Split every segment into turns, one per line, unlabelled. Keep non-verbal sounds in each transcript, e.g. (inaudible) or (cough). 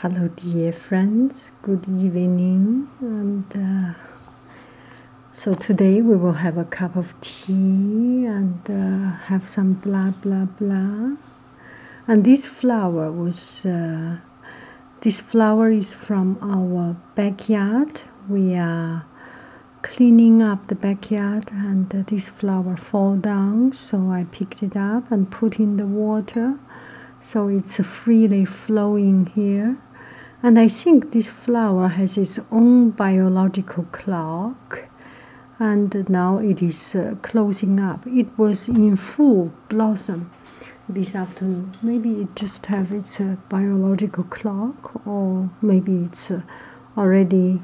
Hello, dear friends. Good evening. And uh, so today we will have a cup of tea and uh, have some blah blah blah. And this flower was uh, this flower is from our backyard. We are cleaning up the backyard, and this flower fall down. So I picked it up and put in the water so it's freely flowing here. And I think this flower has its own biological clock, and now it is uh, closing up. It was in full blossom this afternoon. Maybe it just have its uh, biological clock, or maybe it's uh, already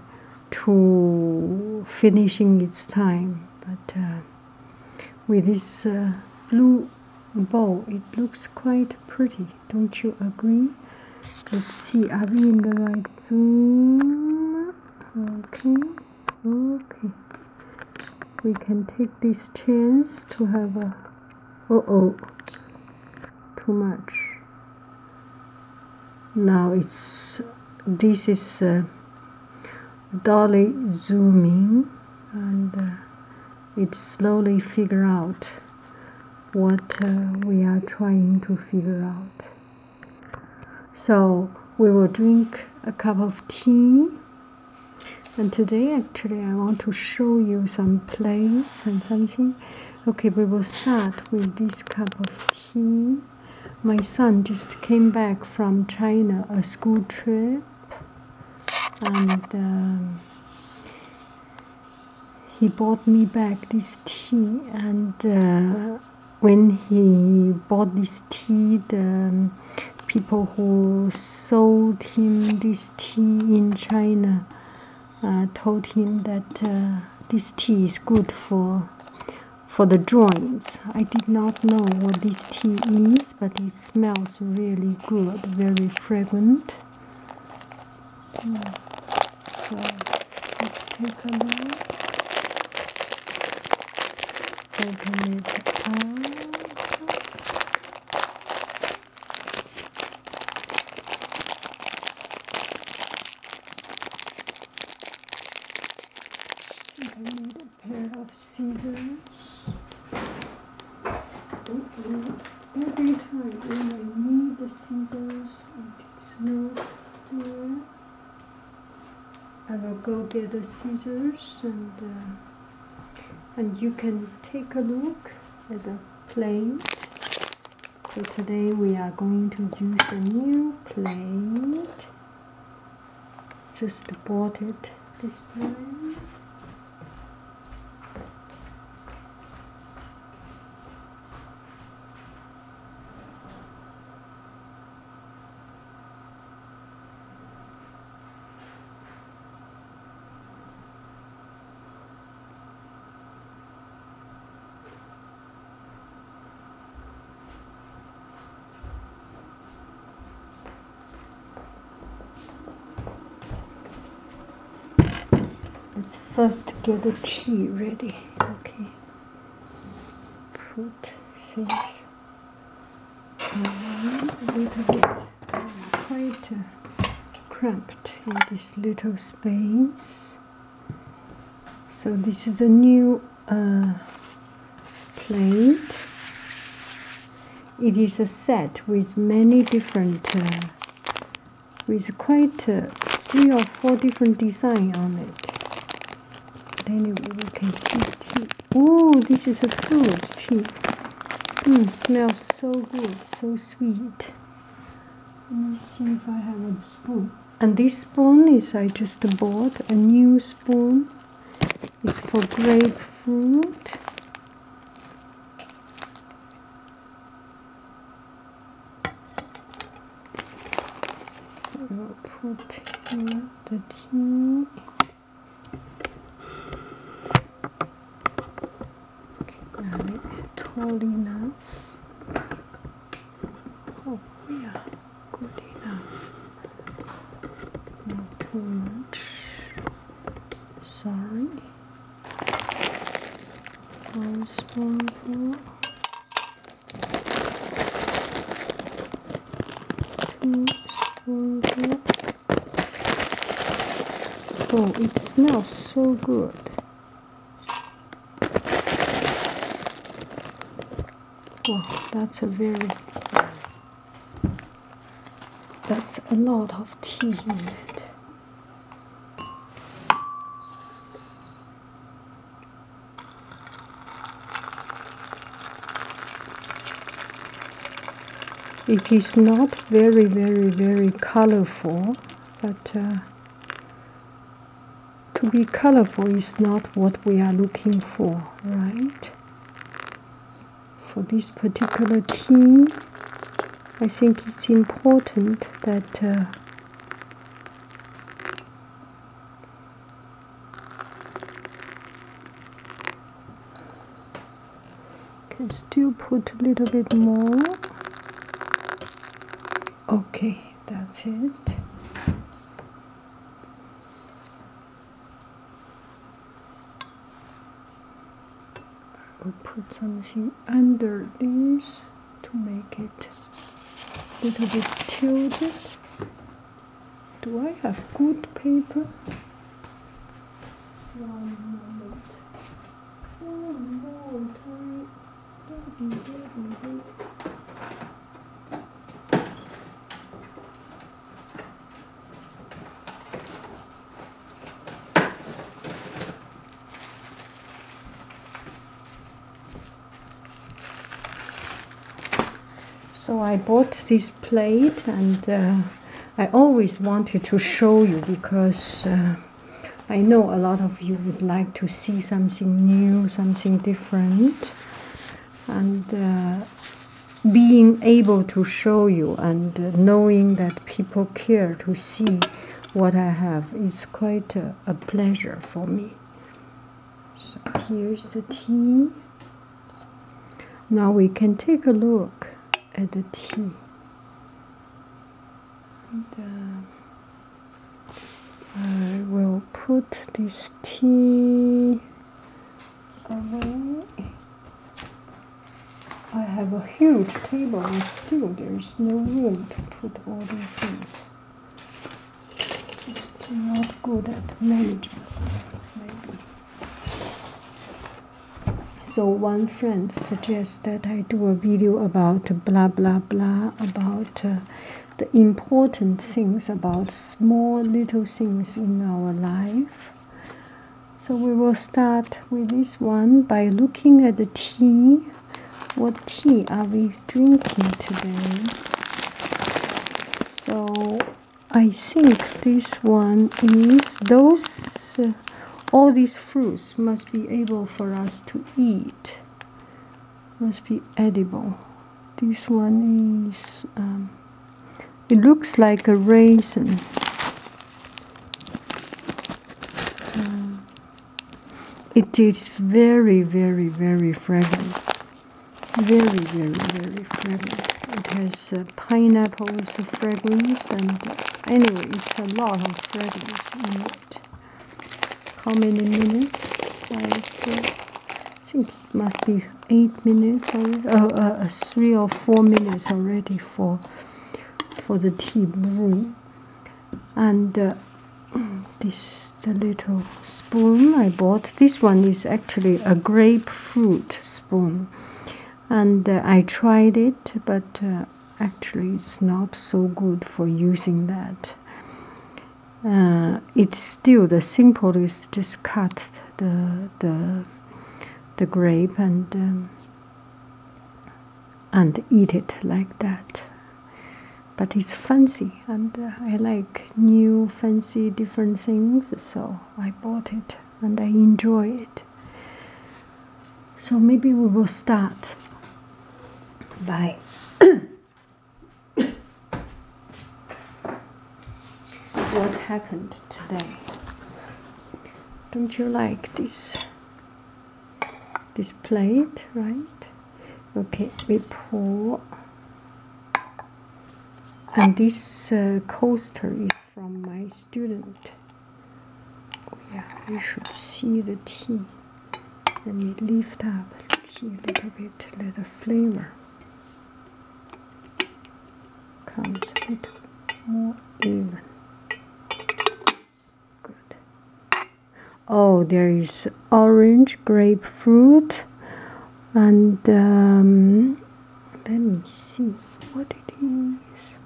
to finishing its time. But with this uh, blue bow. It looks quite pretty, don't you agree? Let's see, are we in the right zoom? Okay, okay. We can take this chance to have a. Oh oh, too much. Now it's. This is. Uh, dolly zooming and uh, it slowly figure out what uh, we are trying to figure out so we will drink a cup of tea and today actually i want to show you some plays and something okay we will start with this cup of tea my son just came back from China, a school trip, and um, he bought me back this tea. And uh, when he bought this tea, the um, people who sold him this tea in China uh, told him that uh, this tea is good for for the drawings. I did not know what this tea is, but it smells really good, very fragrant. So let's take a look. Okay a pair of scissors. Every time when I need the scissors, it's not there. I will go get the scissors and uh, and you can take a look at the plate. So today we are going to use a new plate just bought it this time Let's first get the tea ready. Okay. Put things a little bit quite uh, cramped in this little space. So this is a new a plate. It is a set with many different, uh, with quite uh, three or four different design on it. Then anyway, we can see Oh, this is a good tea. Mm, smells so good, so sweet. Let me see if I have a spoon. And this spoon is I just bought a new spoon. It's for grapefruit. put here the tea. Now it's holding us. Oh, yeah good enough. Not too much. Sorry. One spoonful. Oh, it smells so good. Wow, that's a very that's a lot of tea in it. It is not very, very, very colorful, but uh, to be colorful is not what we are looking for, right? for this particular key, I think it's important that uh, can still put a little bit more. Okay, that's it. I'll put something under this to make it a little bit tilted. Do I have good paper? One moment. So I bought this plate and uh, I always wanted to show you because uh, I know a lot of you would like to see something new, something different and uh, being able to show you and uh, knowing that people care to see what I have is quite a, pleasure for me. So here's the tea. Now we can take a look at the tea. Uh, I will put this tea Mm-hmm. I have a huge table and still there's no room to put all these things. Just not good at management, So one friend suggests that I do a video about blah blah blah about uh, the important things about small little things in our life so we will start with this one by looking at the tea. What tea are we drinking today? So I think this one is those uh, all these fruits must be able for us to eat. Must be edible. This one is um, it looks like a raisin. Um, it is very, very, very fragrant. Very, very, very fragrant. It has uh, pineapples fragrance and uh, anyway, it's a lot of fragrances in it. How many minutes? Like, uh, I it must be eight minutes already, oh, uh, uh, three or four minutes already for for the tea brewing. And uh, (clears throat) this the little spoon I bought. This one is actually a grapefruit spoon, and I tried it, but actually it's not so good for using that. it's still the simplest. Just cut the the the grape and and eat it like that. But it's fancy, and I like new, fancy, different things, so I bought it and I enjoy it. So maybe we will start by what happened today. Don't you like this? This plate, right? Okay, we pour. And this uh, coaster is from my student. Oh, yeah, you should see the tea. Let me lift up the tea a little bit, little flavor comes a little more even. Good. Oh, there is orange, grapefruit, and um, let me see what it is.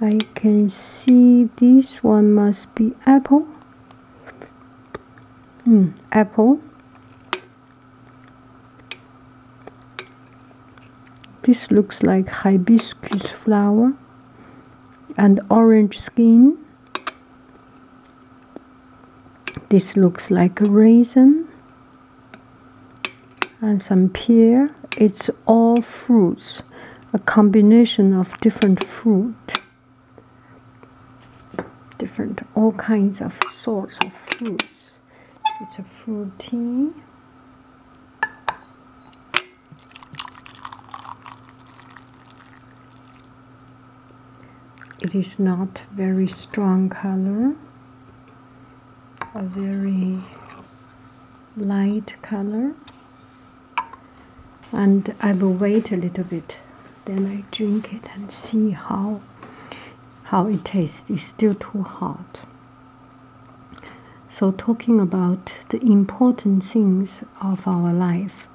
I can see this one must be apple. Mm, apple this looks like hibiscus flower and orange skin. This looks like a raisin and some pear. It's all fruits, a combination of different fruit, different all kinds of sorts of fruits. It's a fruity. It is not very strong color, a very light color. And I will wait a little bit, then I drink it and see how how it tastes. It's still too hot. So, talking about the important things of our life,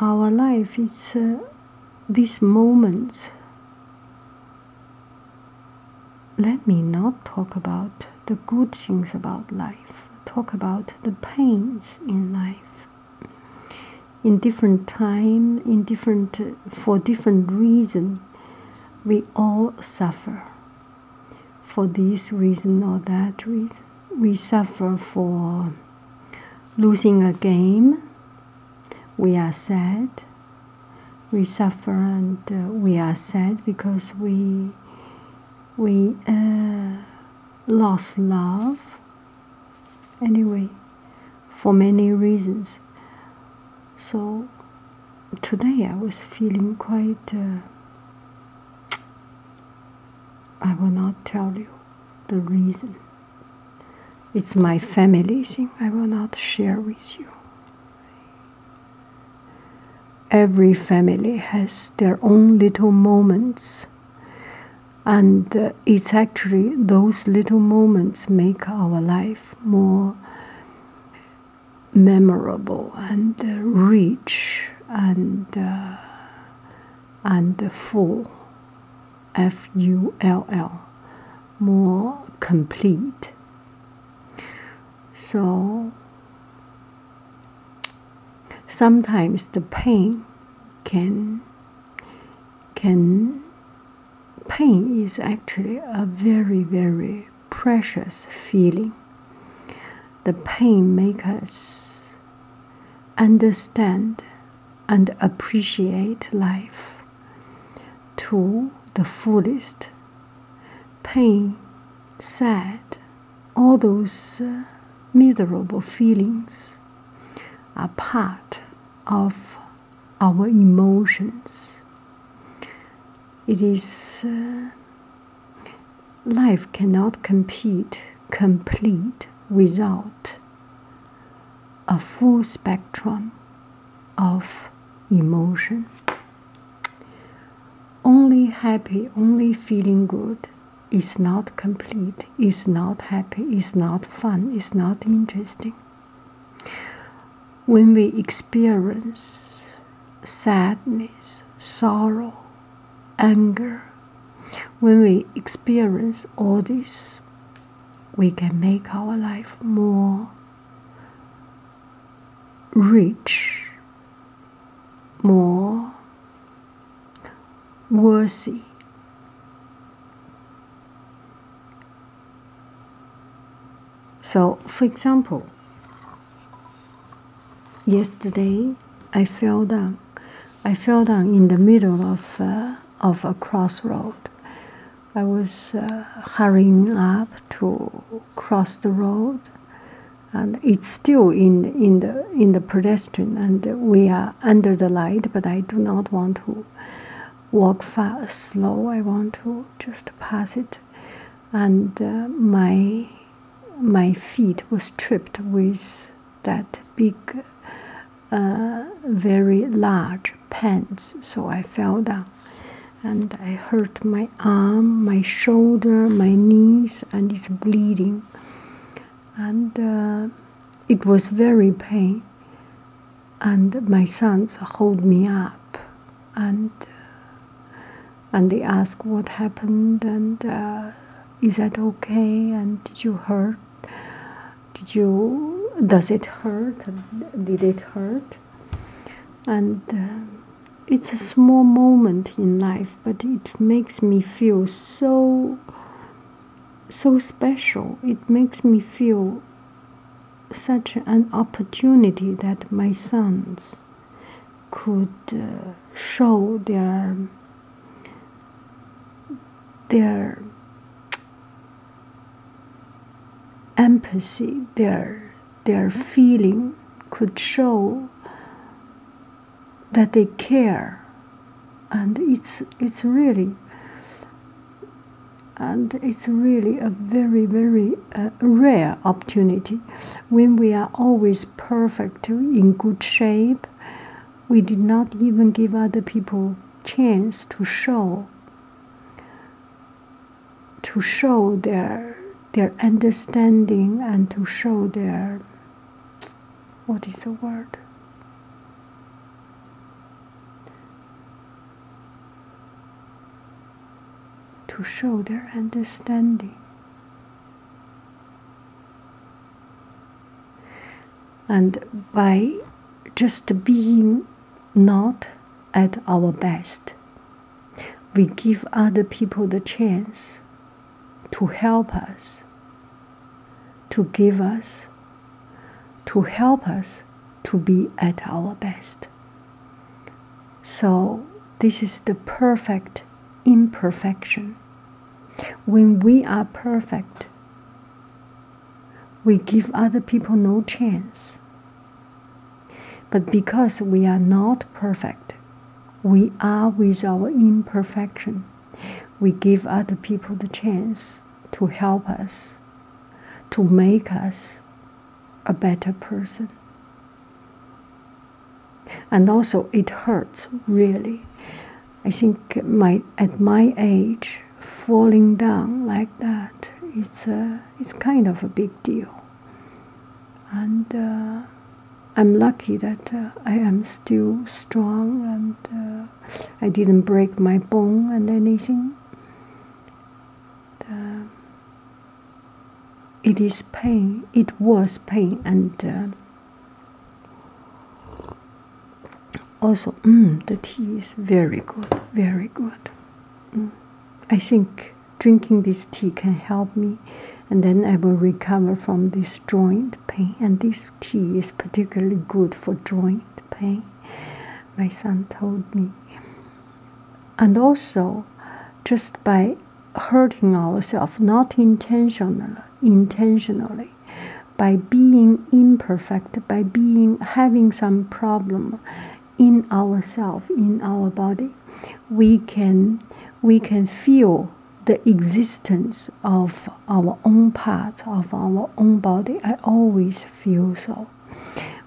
our life its uh, this moment. Let me not talk about the good things about life, talk about the pains in life. In different time, in different, uh, for different reasons. We all suffer for this reason or that reason. We suffer for losing a game. We are sad. We suffer and uh, we are sad because we we uh, lost love. Anyway, for many reasons. So today I was feeling quite. Uh, I will not tell you the reason. It's my family thing, I will not share with you. Every family has their own little moments, and uh, it's actually those little moments make our life more memorable and uh, rich and uh, and full f u l l more complete so sometimes the pain can can pain is actually a very, very precious feeling. The pain makes us understand and appreciate life to the fullest. Pain, sad, all those uh, miserable feelings are part of our emotions. It is uh, life cannot compete complete without a full spectrum of emotion. Only happy, only feeling good is not complete, is not happy, is not fun, is not interesting. When we experience sadness, sorrow, anger, when we experience all this, we can make our life more rich, more worthy. So, for example, yesterday I fell down. I fell down in the middle of uh, of a crossroad. I was uh, hurrying up to cross the road, and it's still in in the in the pedestrian, and we are under the light. But I do not want to walk fast, slow. I want to just pass it, and uh, my my feet was tripped with that big, uh, very large pants, so I fell down, and I hurt my arm, my shoulder, my knees, and it's bleeding, and uh, it was very pain and my sons hold me up and uh, and they ask what happened and uh, is that okay and did you hurt did you does it hurt did it hurt and uh, it's a small moment in life but it makes me feel so so special it makes me feel such an opportunity that my sons could uh, show their their empathy, their their feeling could show that they care, and it's it's really and it's really a very, very uh, rare opportunity when we are always perfect, in good shape. We did not even give other people chance to show to show their their understanding and to show their what is the word to show their understanding. And by just being not at our best, we give other people the chance to help us, to give us, to help us to be at our best. So, this is the perfect imperfection. When we are perfect, we give other people no chance. But because we are not perfect, we are with our imperfection. We give other people the chance to help us, to make us a better person. And also, it hurts really. I think my at my age, falling down like that is uh, it's kind of a big deal. And uh, I'm lucky that uh, I am still strong and uh, I didn't break my bone and anything. Uh, it is pain, it was pain, and uh, also mm, the tea is very good, very good. Mm. I think drinking this tea can help me, and then I will recover from this joint pain. And this tea is particularly good for joint pain. My son told me, and also just by hurting ourselves not intentionally intentionally by being imperfect by being having some problem in ourselves in our body we can we can feel the existence of our own parts of our own body i always feel so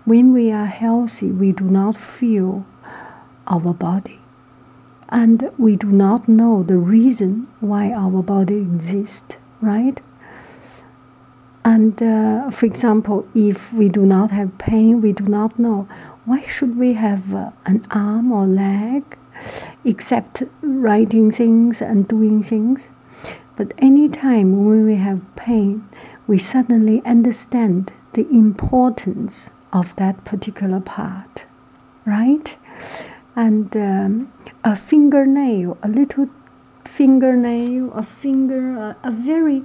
when we are healthy, we do not feel our body, and we do not know the reason why our body exists, right? And uh, for example, if we do not have pain, we do not know why should we have uh, an arm or leg, except writing things and doing things. But any time when we have pain, we suddenly understand the importance of that particular part, right? And um, a fingernail, a little fingernail, a finger, a, very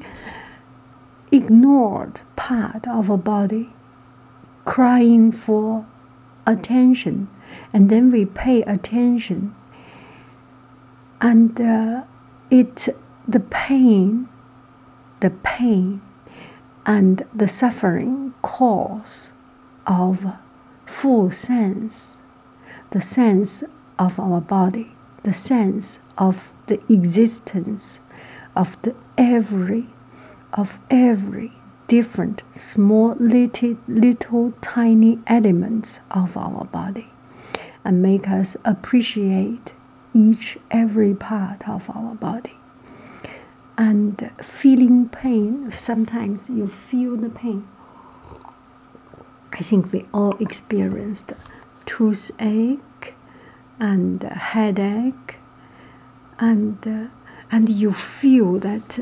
ignored part of a body crying for attention, and then we pay attention, and uh, it the pain the pain and the suffering cause of full sense, the sense of our body, the sense of the existence of the every of every different small little, little tiny elements of our body and make us appreciate each every part of our body and feeling pain sometimes you feel the pain i think we all experienced toothache and headache and uh, and you feel that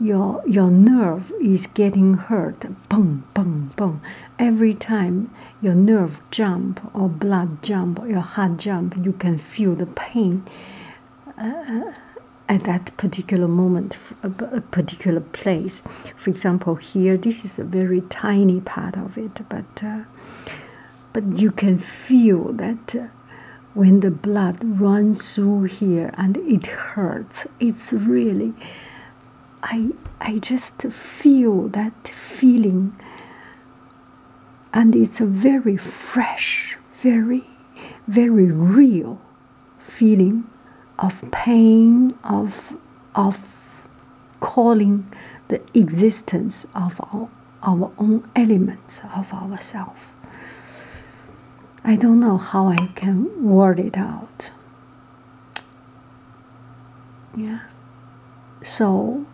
your your nerve is getting hurt boom boom boom every time your nerve jump or blood jump or your heart jump you can feel the pain uh, uh, at that particular moment a particular place for example here this is a very tiny part of it but uh, but you can feel that when the blood runs through here and it hurts it's really I I just feel that feeling and it's a very fresh, very, very real feeling of pain, of of calling the existence of our, own elements of ourselves. I don't know how I can word it out. Yeah. So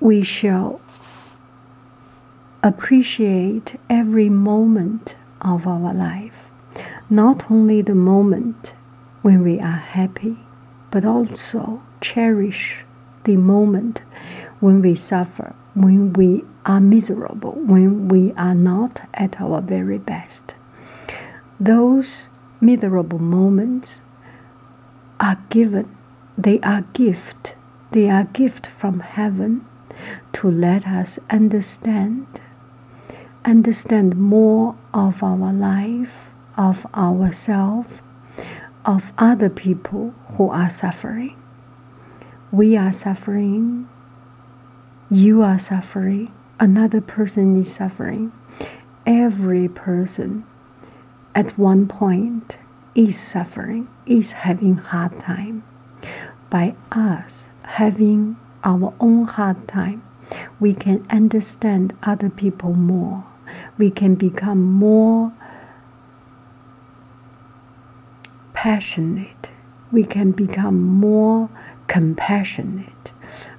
we shall appreciate every moment of our life, not only the moment when we are happy, but also cherish the moment when we suffer, when we are miserable, when we are not at our very best. Those miserable moments are given, they are gift, they are gift from heaven to let us understand, understand more of our life, of ourselves, of other people who are suffering. We are suffering, you are suffering another person is suffering. Every person at one point is suffering, is having hard time. By us having our own hard time, we can understand other people more. We can become more passionate. We can become more compassionate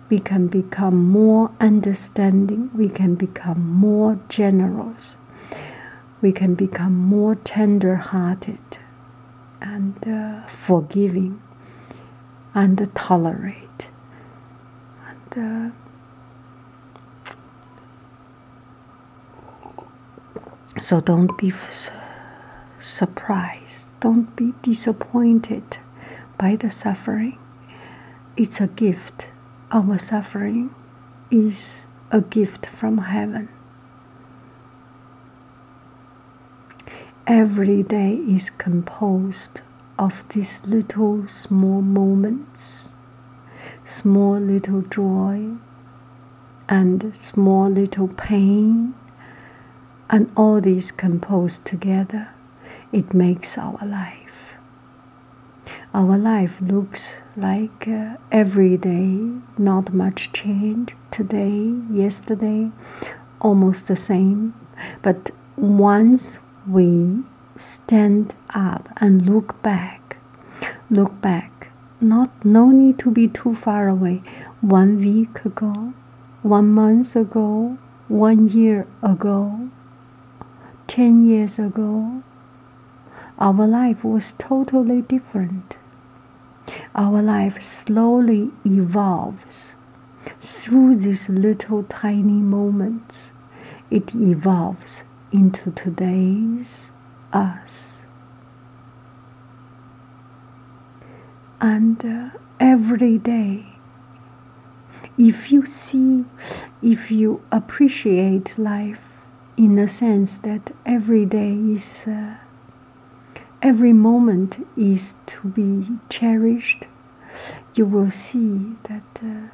we can become more understanding, we can become more generous, we can become more tender hearted and uh, forgiving and tolerate. Uh, so don't be surprised, don't be disappointed by the suffering. It's a gift. Our suffering is a gift from heaven. Every day is composed of these little small moments, small little joy, and small little pain, and all these composed together it makes our life. Our life looks like uh, every day, not much change. Today, yesterday, almost the same. But once we stand up and look back, look back, not no need to be too far away. One week ago, one month ago, one year ago, Ten years ago, our life was totally different. Our life slowly evolves through these little tiny moments. It evolves into today's us. And uh, every day if you see, if you appreciate life in the sense that every day is, uh, every moment is to be cherished, you will see that uh,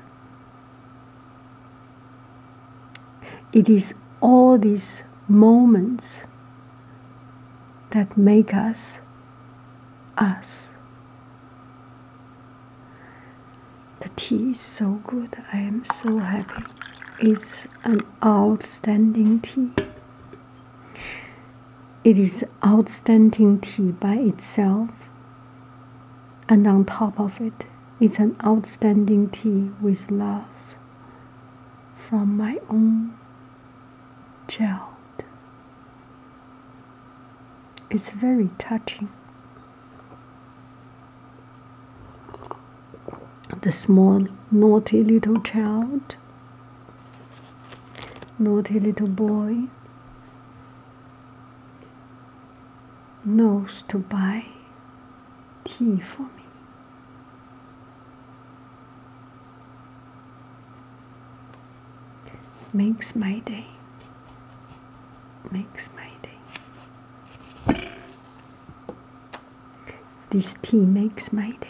it is all these moments that make us us. The tea is so good. I am so happy. It's an outstanding tea. It is outstanding tea by itself, and on top of it, it's an outstanding tea with love from my own child. It's very touching. The small, naughty little child, naughty little boy knows to buy tea for me makes my day. Makes my day. This tea makes my day.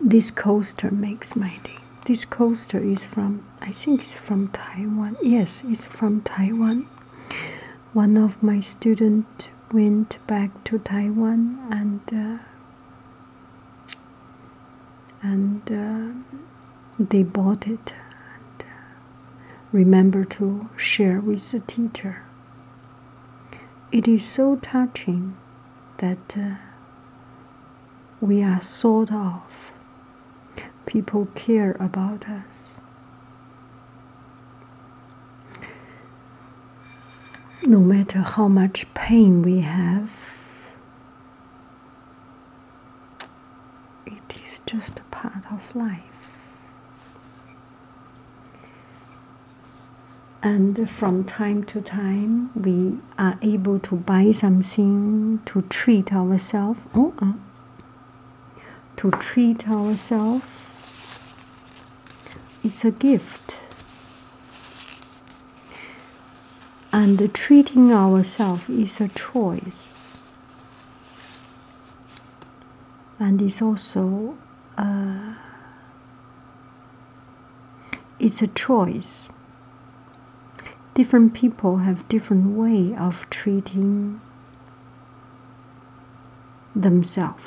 This coaster makes my day. This coaster is from, I think it's from Taiwan. Yes, it's from Taiwan. One of my students went back to Taiwan and uh, and uh, they bought it. And, uh, remember to share with the teacher. It is so touching that uh, we are thought of. People care about us. No matter how much pain we have, it is just a part of life. And from time to time, we are able to buy something to treat ourselves. Oh, uh, to treat ourselves. It's a gift and treating ourselves is a choice and it's also uh, it's a choice different people have different way of treating themselves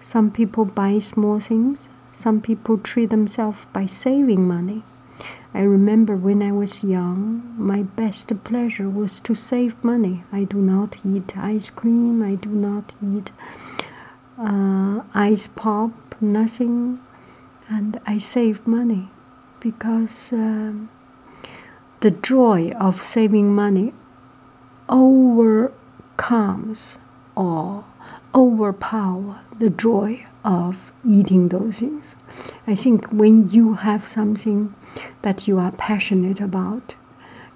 some people buy small things some people treat themselves by saving money. I remember when I was young, my best pleasure was to save money. I do not eat ice cream, I do not eat uh, ice pop, nothing, and I save money because um, the joy of saving money overcomes or overpower the joy of eating those things. I think when you have something that you are passionate about,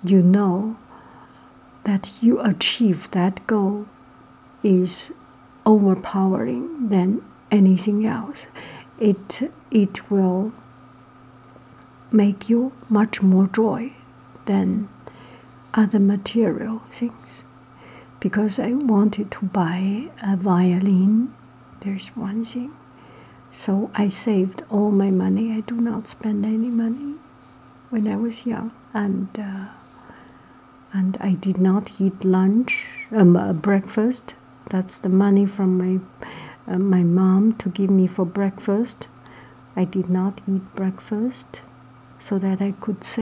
you know that you achieve that goal is overpowering than anything else. It it will make you much more joy than other material things because I wanted to buy a violin. There's one thing. So I saved all my money. I do not spend any money when I was young, and uh, and I did not eat lunch, um, uh, breakfast. That's the money from my uh, my mom to give me for breakfast. I did not eat breakfast so that I could save.